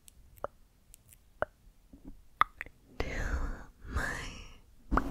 to my A -M -R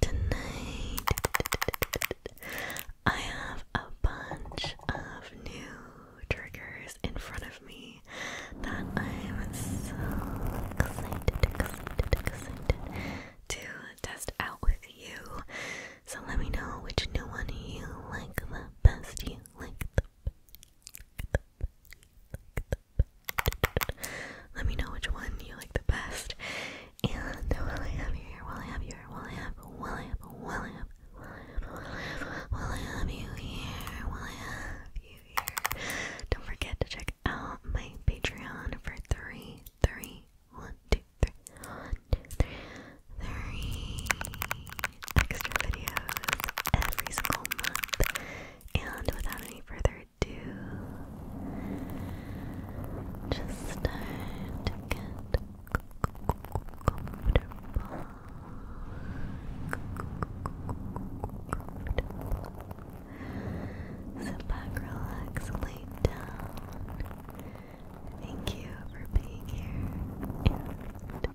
Tonight, I have a bunch of new triggers in front of me that I'm so excited, excited, excited to test out with you. So let me know which new one you like the best. You like the let me know which one you like the best. And while I have you here, while I have you here, while I have, while I have, while I have, while I have, you here, while I have you here, don't forget to check out my Patreon for three, three, one, two, three, one, two, three three extra videos every single month. And without any further ado, just start to get comfortable. Sit back, relax, lay down. Thank you for being here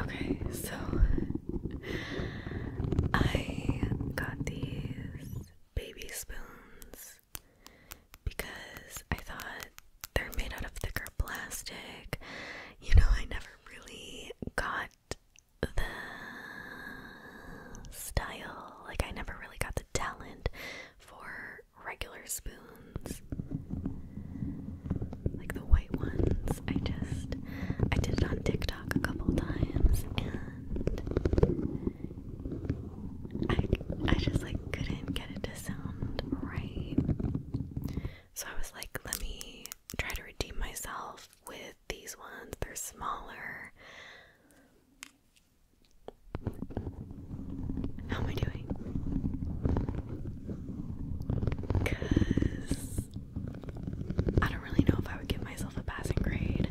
Okay, so I got these baby spoons because I thought they're made out of thicker plastic. You know, I never really got the style, like, I never really got the talent for regular spoons. Like the white ones. I just I did it on TikTok a couple times and I I just like couldn't get it to sound right. So I was like, let me try to redeem myself with these ones. They're smaller. How am I doing? Because I don't really know if I would give myself a passing grade.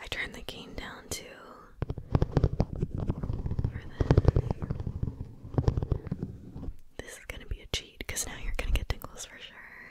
I turned the game down too this. This is gonna be a cheat because now you're gonna get tingles for sure.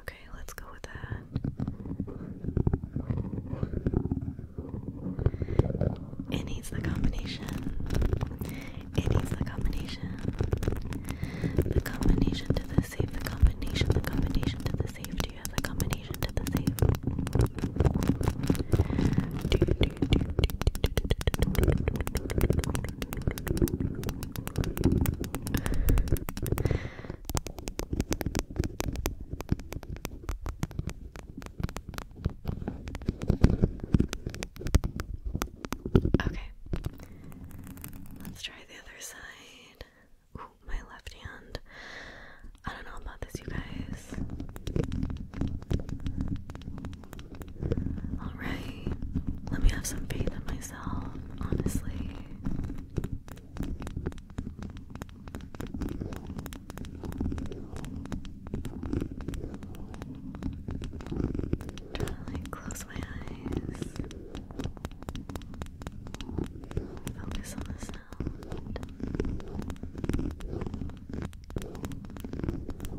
Okay, let's go with that. It needs the combination. It needs the combination. The combination to the safe. The combination. The combination to the safe. Do you have the combination to the safe? Okay. Let's try the other side. my left hand. I don't know about this, you guys. Alright, let me have some faith in myself, honestly. Try close my eyes. Focus on the sound.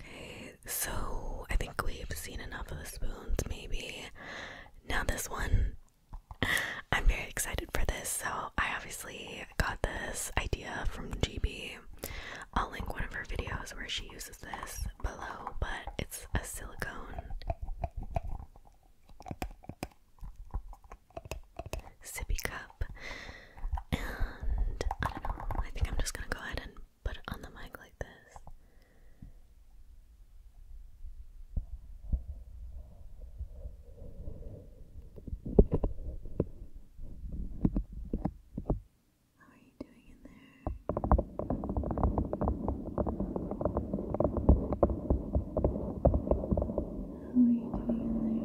Okay, so I think we've seen enough of the spoons, maybe. Now, this one, I'm very excited for this. So, I obviously got this idea from GB. I'll link one of her videos where she uses this below, but it's a silicone sippy cup. I don't know, I think I'm just gonna go ahead and put it on the mic like this. How are you doing in there? How are you doing in there?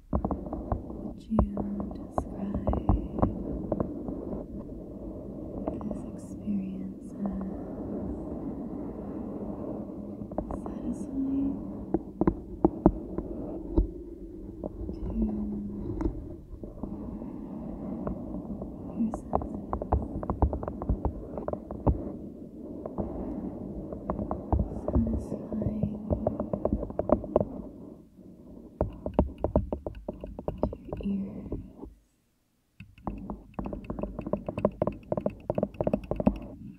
Would you describe this experience as satisfying to your senses? satisfying to your ears. This this might be a new favorite of mine.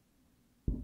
I feel like this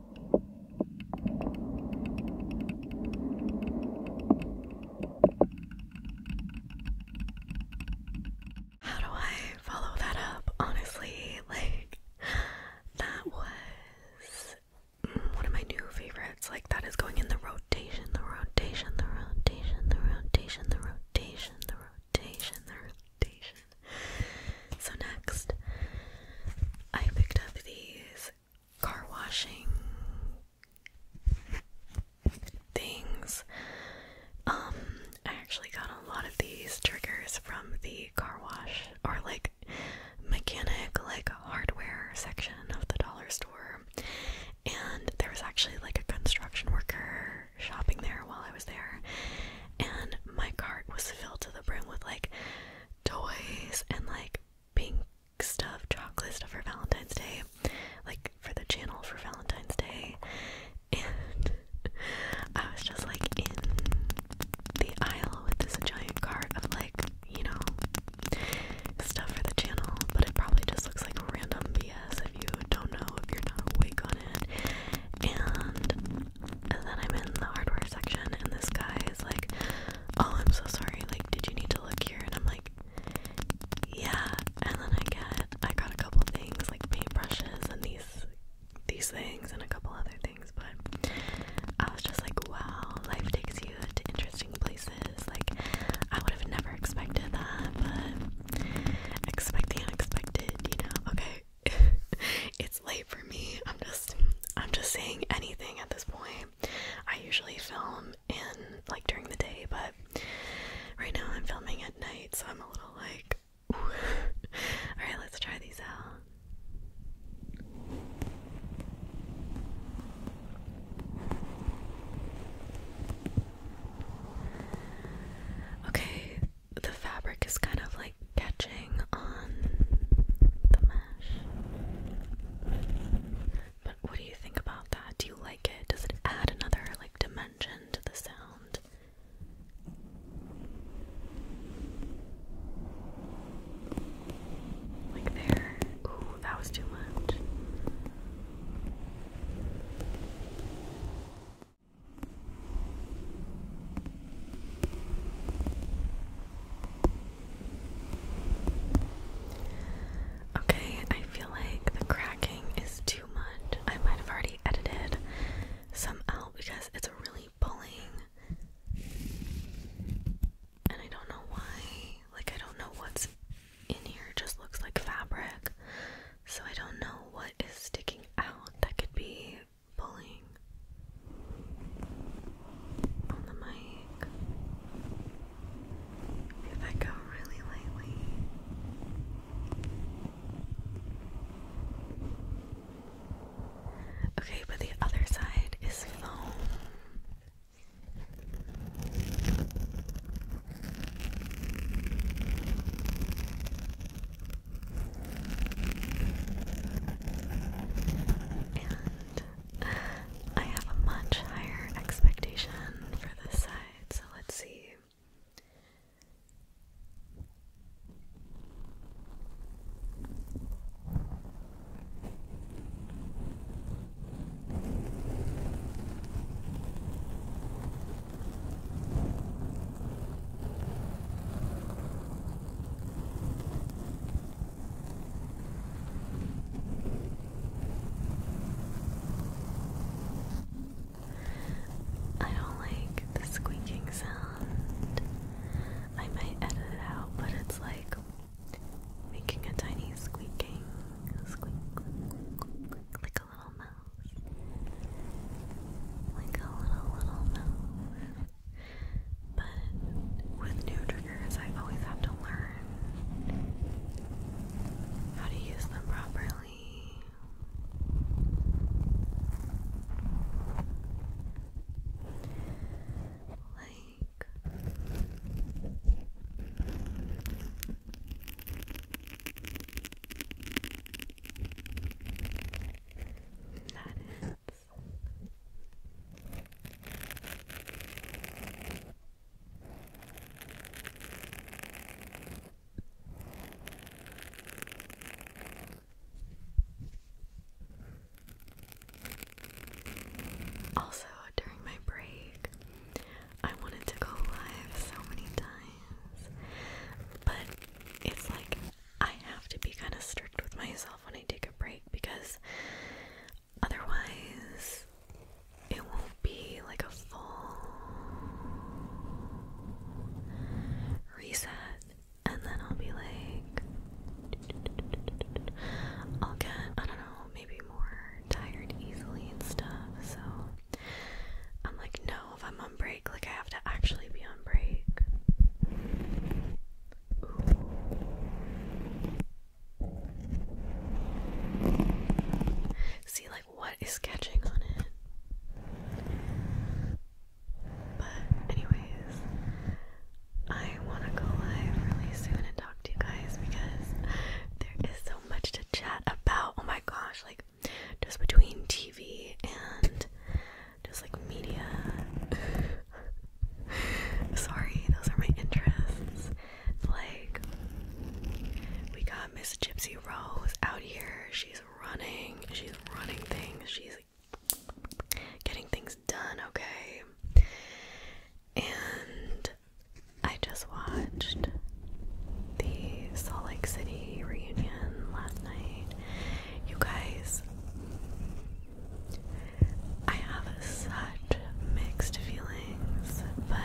How do I follow that up? Honestly, like that was one of my new favorites. Like that is going in the rotation, the rotation, the rotation, the rotation, the rotation, the rotation, the rotation. So next I picked up these car washing things. Um, I actually got a lot of these triggers from the car wash or like mechanic, like hardware section of the dollar store. And there was actually like a construction worker shopping there while I was there. And my cart was filled to the brim with like toys and like pink stuff, chocolate stuff for Valentine's Day, like for the channel for Valentine's Day. And I was just like in the aisle with this giant cart of like, you know, stuff for the channel, but it probably just looks like random BS if you don't know, if you're not awake on it. and then I'm in the hardware section, and this guy is like, oh, I'm so sorry, like, did you need to look here? And I'm like, yeah, and then I get, I got a couple things, like paintbrushes and these, these things and a couple other things, but I was just like, wow, life takes you to interesting places, like, I would have never expected that, but expect the unexpected, you know, okay. it's late for me. I'm just I'm just saying anything at this point. I usually film in like during the day, but right now I'm filming at night, so I'm a little like, alright, let's try these out. Okay, the fabric is kind of like catch on the mesh. But what do you think about that? Do you like it? Does it add another like dimension to the sound? Like there. Ooh, that was too much. Okay, I feel like the cracking is too much. I might have already edited some out because it's really pulling. And I don't know why. Like, I don't know what's in here. It just looks like fabric. So I don't know what is sticking out that could be pulling on the mic. If I go really lightly. Okay, but the other side is foam. And I have a much higher expectation for this side, so let's see. I don't like the squeaking sound. I might edit it out, but it's like making a tiny squeaking squeak, like a little mouse. Like a little little mouse. But with new triggers, I always have to learn how to use them properly. Like, that is also, during my break, I wanted to go live so many times, but it's like I have to be kind of strict with myself when I take a break because otherwise it won't be like a full reset and then I'll be like I'll get I don't know maybe more tired easily and stuff so I'm like no if I'm on break like I have to actually be on break See, like, what is catching on it? But, anyways, I want to go live really soon and talk to you guys because there is so much to chat about. Oh my gosh, like, just between TV and just like media. Sorry, those are my interests. Like, we got Miss Gypsy Rose out here. She's running. She's running things. She's getting things done, okay? And I just watched the Salt Lake City reunion last night. You guys, I have such mixed feelings, but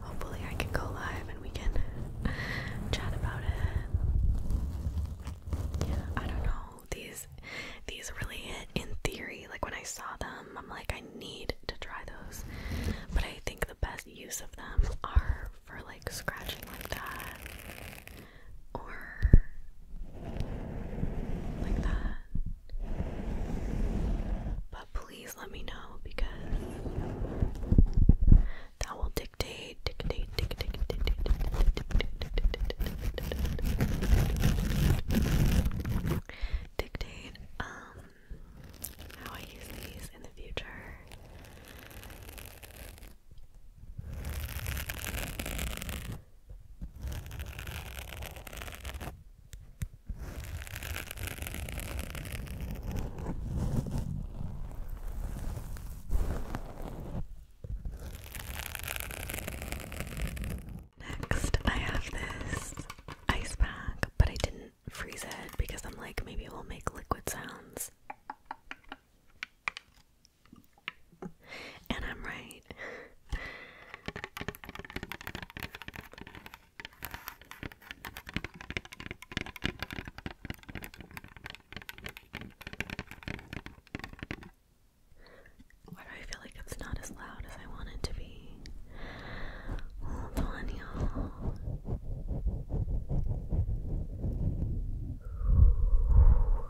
hopefully I can go live and we can chat about it. Yeah, I don't know. These these really hit in theory. Like when I saw them, I'm like I need to try those. But I think the best use of them are for like scratching like that or like that. But please let me know because that will dictate, dictate, dictate, dictate, dictate, dictate, um, how I use these in the future. Next, I have this ice pack, but I didn't freeze it because I'm like, maybe it will make liquid sounds. And I'm right. I feel like it's not as loud as I want to be? Hold on, y'all.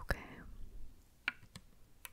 Okay.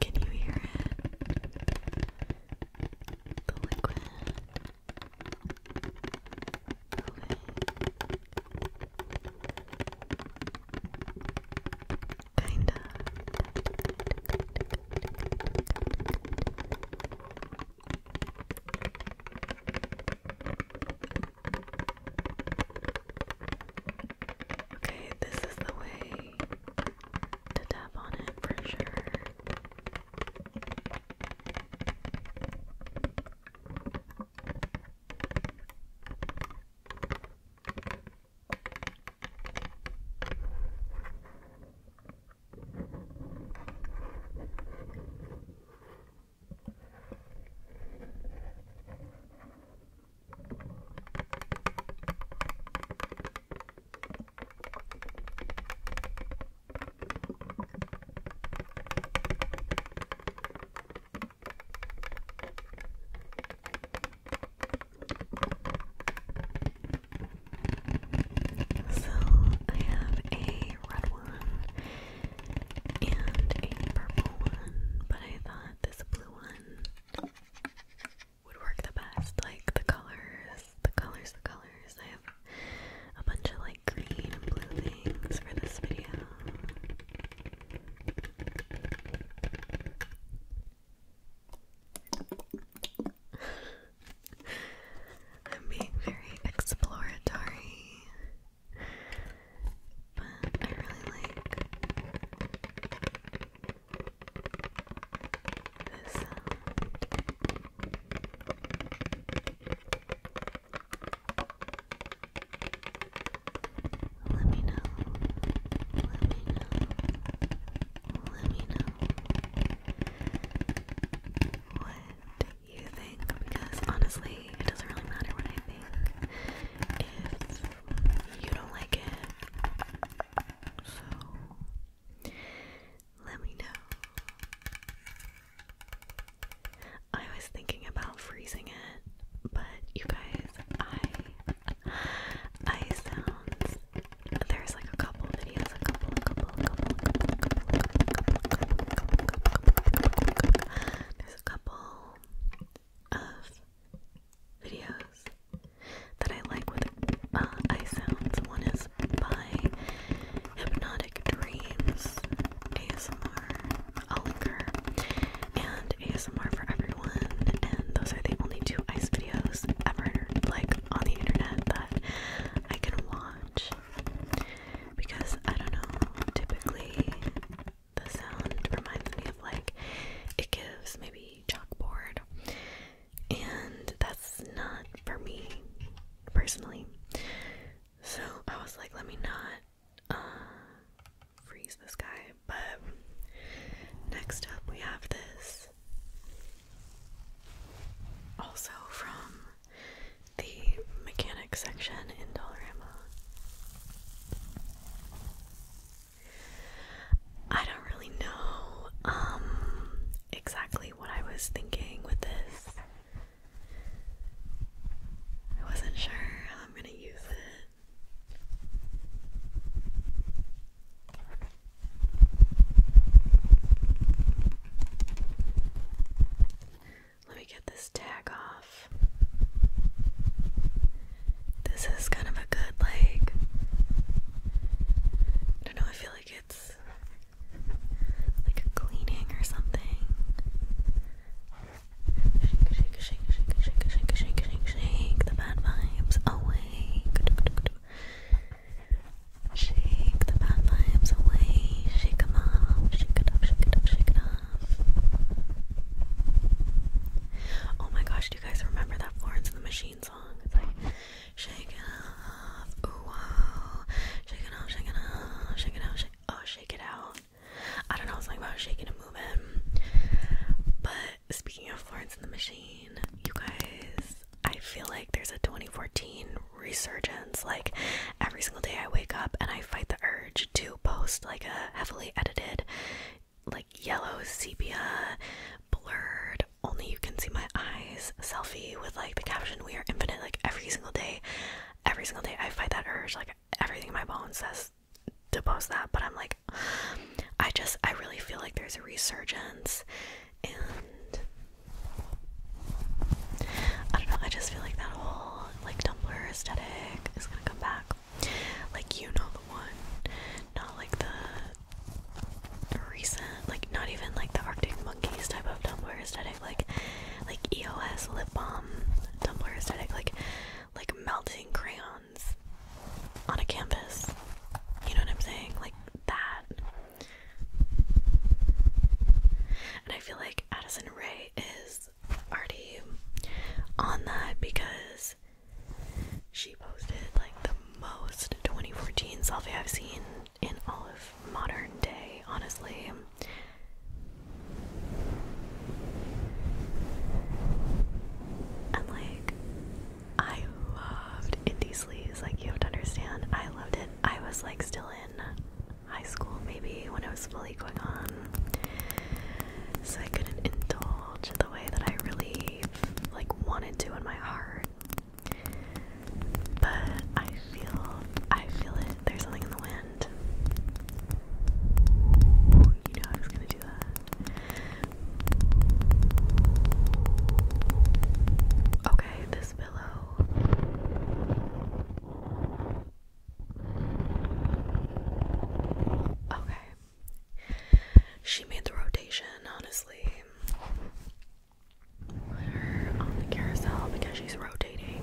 Can you hear it? The liquid. Okay. Kinda. Okay, this is the way to tap on it for sure. So I have a red one and a purple one, but I thought this blue one would work the best. Like the colors, the colors, the colors. I have a bunch of like green and blue things for this video. I'm being very exploratory, but I really like this Let me know. Let me know. Let me know. What you think because honestly, it doesn't really matter what I think if you don't like it. So, let me know. I was thinking about freezing it, but you guys, I I sounds there's like a couple videos, a couple, a couple there's a couple of videos that I like with uh, eye sounds. One is by Hypnotic Dreams ASMR. I'll And ASMR for everyone. And those are the only two ice videos ever like on the internet that I can watch because I don't know, typically the sound reminds me of like it gives maybe chalkboard, and that's not for me personally. So I was like, let me not uh, freeze this guy. But next up, we have this also from the mechanics section in Dollarama. I don't really know um, exactly what I was thinking with this. I wasn't sure how I'm going to use it. Let me get this tag off. This is kind of a good, like, I don't know, I feel like it's like a cleaning or something. Shake, shake, shake, shake, shake, shake, shake, shake, shake the bad vibes away. Oh, Shake the bad vibes away. Shake them off. Shake it up, shake it up, shake it off. Oh my gosh, do you guys remember that Florence and the Machine song? It's like, shake it off. Ooh, wow. Shake it off, shake it off. Shake it off, shake Oh, shake it out. I don't know, it's like about shaking and moving. But speaking of Florence and the Machine, you guys, I feel like there's a 2014 resurgence. Like every single day I wake up and I fight the urge to post like a heavily edited, like yellow sepia, blurred, only you can see my eyes selfie with like the caption we are infinite like every single day. Every single day I fight that urge. Like everything in my bones says to post that, but I'm like I just I really feel like there's a resurgence and I don't know, I just feel like that whole like Tumblr aesthetic is gonna come back. Like you know the one. Not like the recent like not even like the Arctic Monkeys type of Tumblr aesthetic, like like EOS lip balm Tumblr aesthetic, like like melting crayons on a canvas. You know what I'm saying? Like that. And I feel like Addison Ray is already on that because she posted like the most 2014 selfie I've seen in all of modern day, honestly. And like, I loved Indie Sleeves, like, you have to understand. I loved it. I was like still in high school, maybe when I was fully going on. So I couldn't indulge the way that I really like wanted to in my heart. But I feel, I feel it. There's something in the wind. You know I was gonna do that. Okay, this pillow. Okay. She made the rotation, honestly. Put her on the carousel because she's rotating.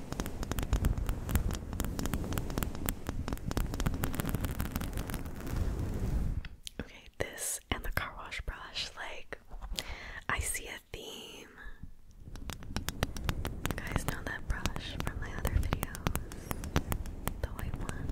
Okay, this and the car wash brush, like, I see a theme. You guys know that brush from my other videos? The white one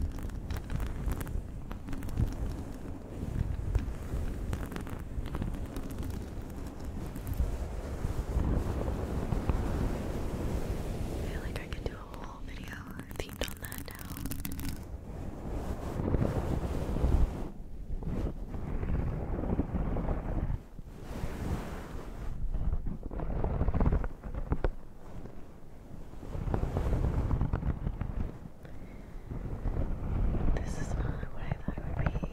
feel like I could do a whole video themed on that now. This is not what I thought it would be.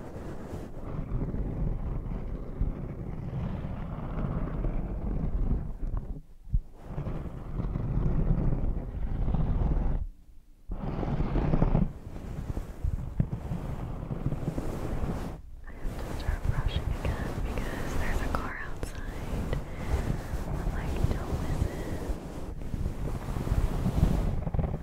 I have to start brushing again because there's a car outside. I'm like, don't miss it.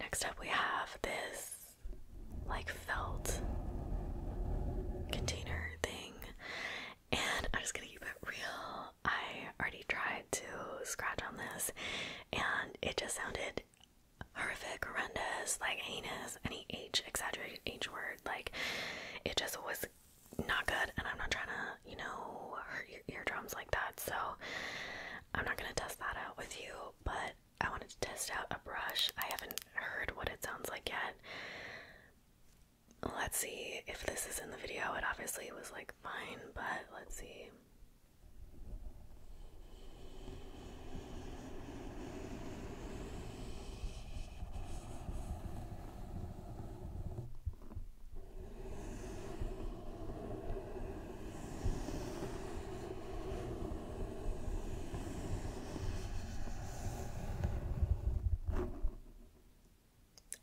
Next up, we have this like felt container thing, and I'm just gonna keep it real. I already tried to scratch on this, and it just sounded horrific, horrendous, like anus, any H exaggerated H word. Like it just was not good, and I'm not trying to, you know, hurt your eardrums like that. So I'm not gonna test that out with you, but I wanted to test out a brush. I haven't heard what it sounds like yet. Let's see if this is in the video. It obviously was like fine, but let's see.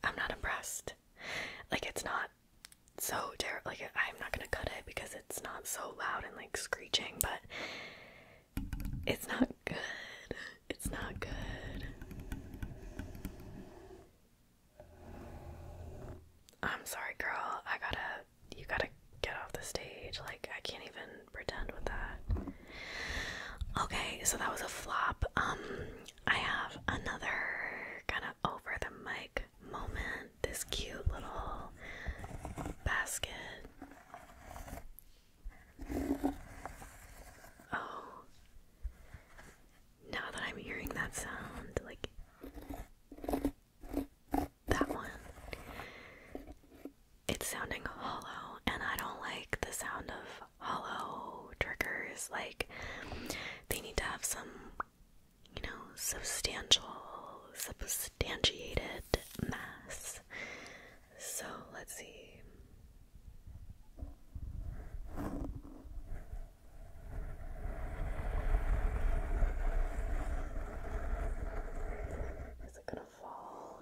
I'm not impressed. Like, it's not so terrible. Like, I'm not gonna cut it because it's not so loud and like screeching, but it's not good. It's not good. I'm sorry, girl. I gotta. You gotta get off the stage. Like, I can't even pretend with that. Okay, so that was a flop. Um, I have another kind of over the mic moment this cute little basket. Oh, now that I'm hearing that sound, like that one, it's sounding hollow, and I don't like the sound of hollow triggers. Like, they need to have some you know, substantial, substantiated mass. So let's see. Is it gonna fall?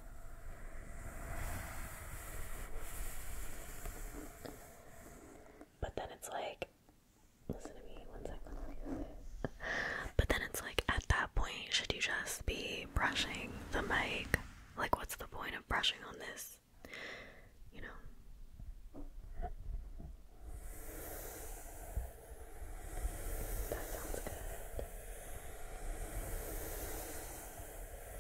But then it's like, listen to me one second. But then it's like, at that point, should you just be brushing the mic? Like, what's the point of brushing on this? You know? That sounds good.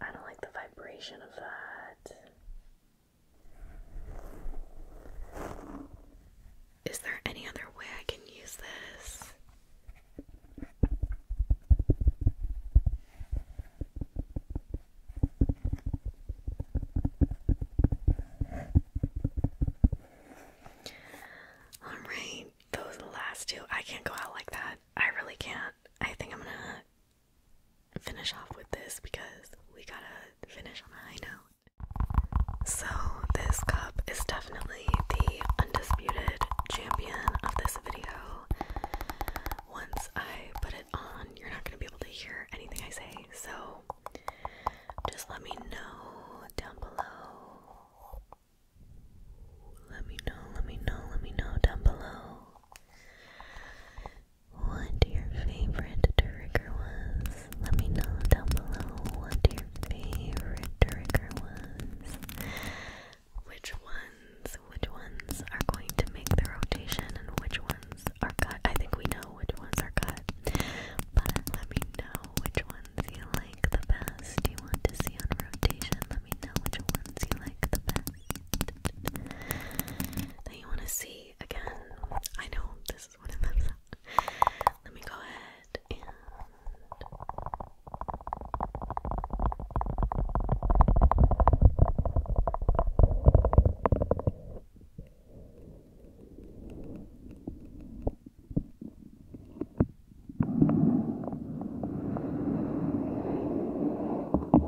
I don't like the vibration of that. Is there any other way I can use this? Alright, those last two. I can't go out like that. I really can't. I think I'm gonna finish off with this because we gotta finish on a high note. So, this cup is definitely the undisputed champion of this video. Once I put it on, you're not gonna be able to hear anything I say, so just let me know down below. Let me know, let me know, let me know down below what your favorite trigger was. Let me know down below what your favorite trigger was. Which ones, which ones are going to make the rotation and which ones are cut. I think we know which ones are cut. But let me know which ones you like the best. You want to see on rotation. Let me know which ones you like the best. That you want to see again. I know this is what it lives Let me go ahead and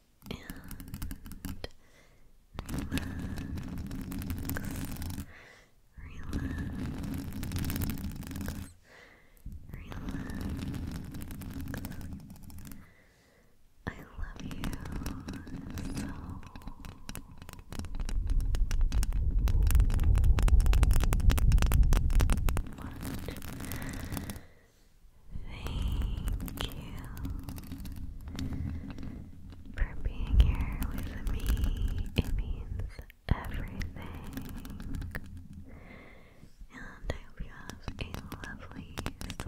and relax. Relax, relax. I love you so. much. Thank you for being here with me. It means everything. And I hope you have a lovely sleep.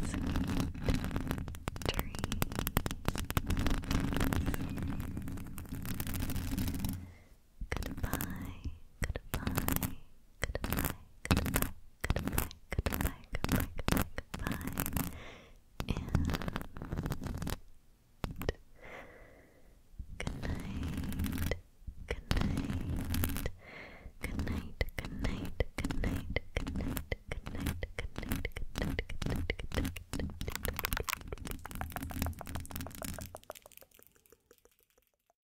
Sweet, dreams. Goodbye, goodbye goodbye, goodbye, goodbye, goodbye, goodbye, goodbye, goodbye, and good night, good night, good night, good night, good night, good night, good night, good night, good night, good night, good night, good night.